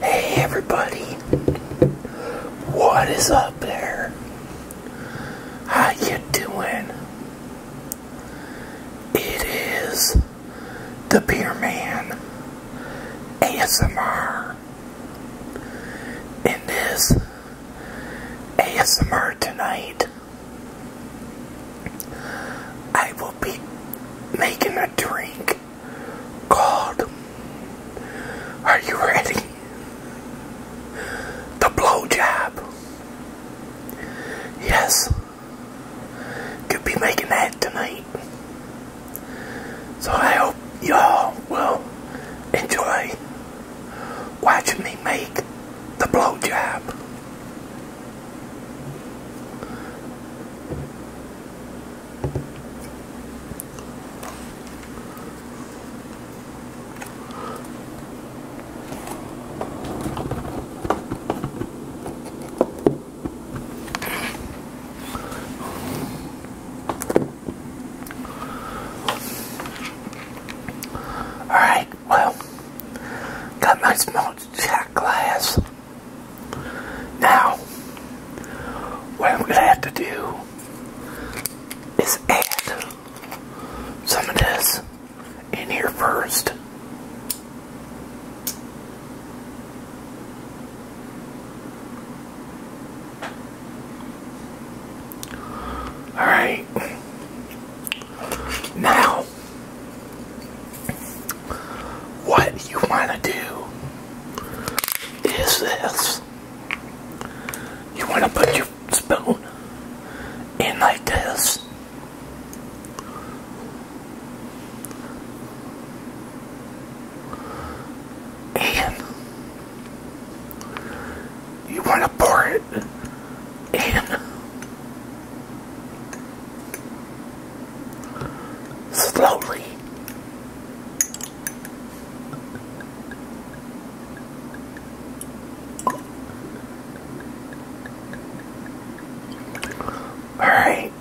Hey everybody, what is up there? How you doing? It is the Beer Man ASMR. In this ASMR tonight, I will be making a drink called Are You Ready? The Blowjob. Yes. Could be making that tonight. So I hope y'all will enjoy watching me make the blowjob. All right, well, got my small shot glass. Now, what I'm going to have to do is add some of this in here first. Alright. Now, what you want to do is this. You want to put your spoon in like this. And you want to pour it in Slowly. All right.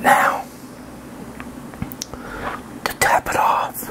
Now, to top it off,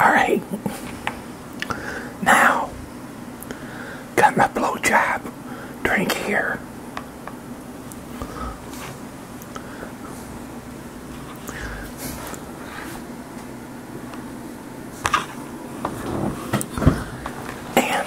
Alright. Now, got my blow job. drink here. And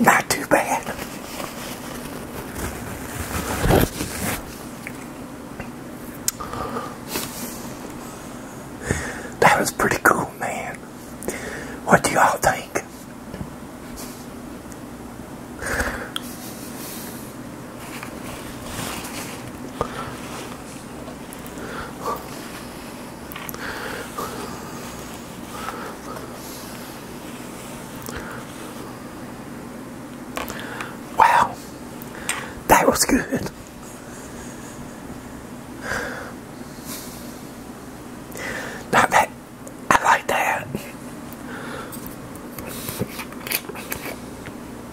Not too bad. That was pretty cool, man. What do y'all think? Wow, that was good. Not that I like that.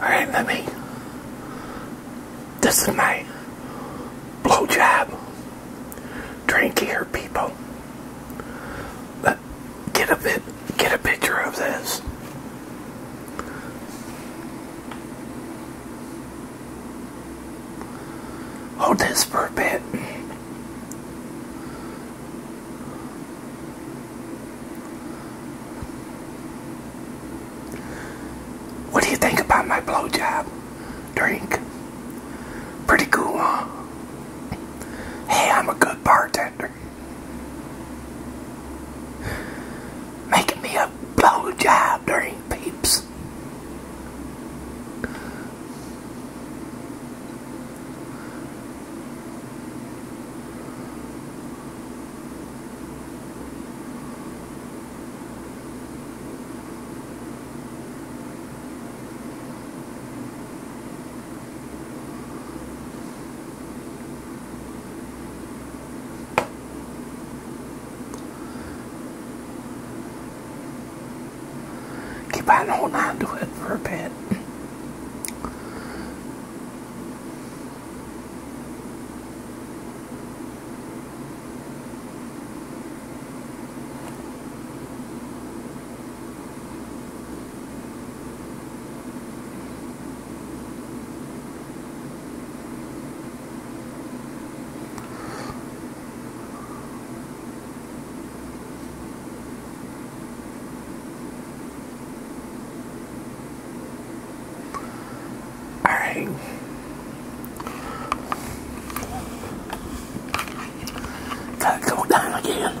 Alright, let me. This is my blowjob drink here, people. Let, get a bit, get a picture of this. Hold this for a bit. What do you think about my blowjob drink? Pretty cool, huh? Hey, I'm a good bartender making me a blow job during peeps. Keep on holding on to it for a bit. All right. Gotta go down again.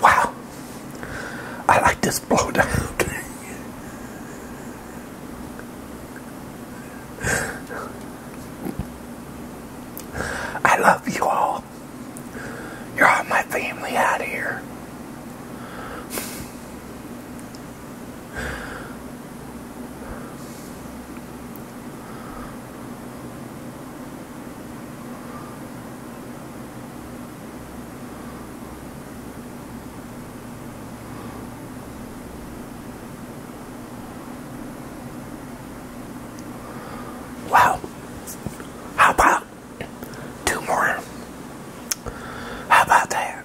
Wow, I like this blowdown. I love you all. You're all my family out here. Wow. How about two more? How about that?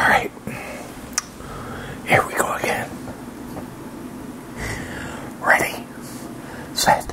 All right, here we go again. Ready, set.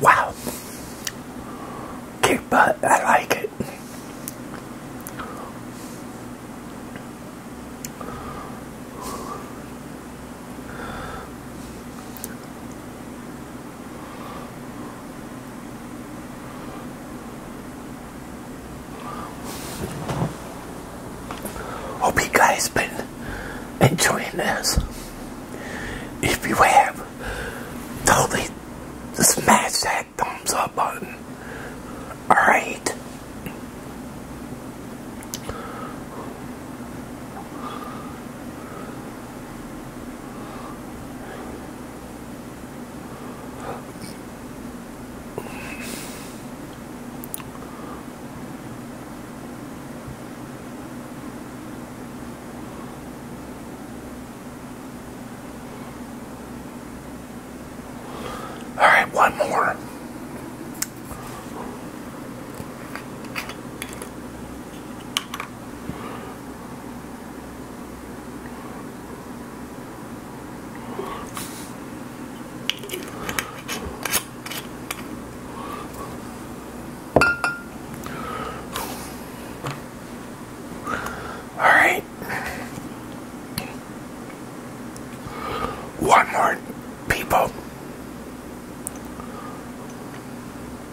Wow. Cute butt, I like it. Hope you guys been enjoying this. If you have, totally smash that thumbs up button. Alright. All right, one more. All right. One more people.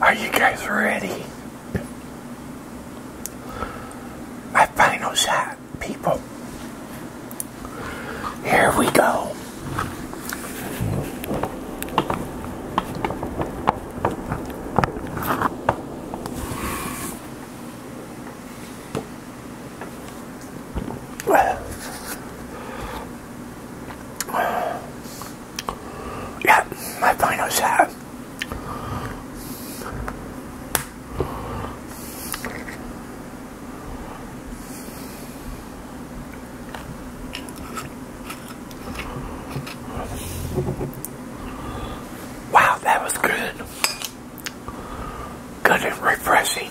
Are you guys ready? My final shot, people. Here we go. Yeah, my final shot. Wow, that was good. Good and refreshing.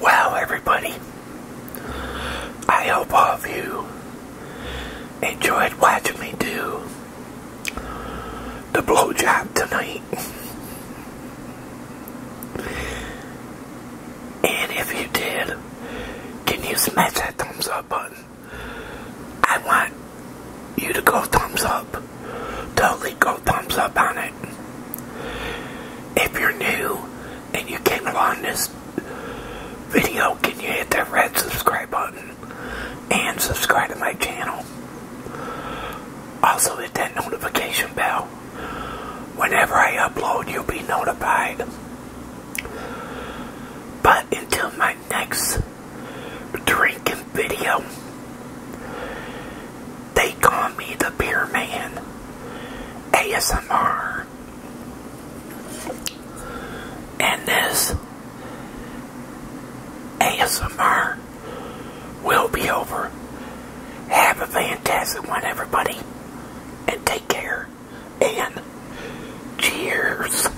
Wow, everybody, I hope all of you enjoyed watching me do the blowjob tonight. And if you did, can you smash that thumbs up button? I want you to go thumbs up totally go thumbs up on it. If you're new and you came along this video, can you hit that red subscribe button and subscribe to my channel? Also hit that notification bell. Whenever I upload, you'll be notified. But until my next drinking video, they call me the Beer Man. ASMR. And this ASMR will be over. Have a fantastic one, everybody. And take care. And cheers.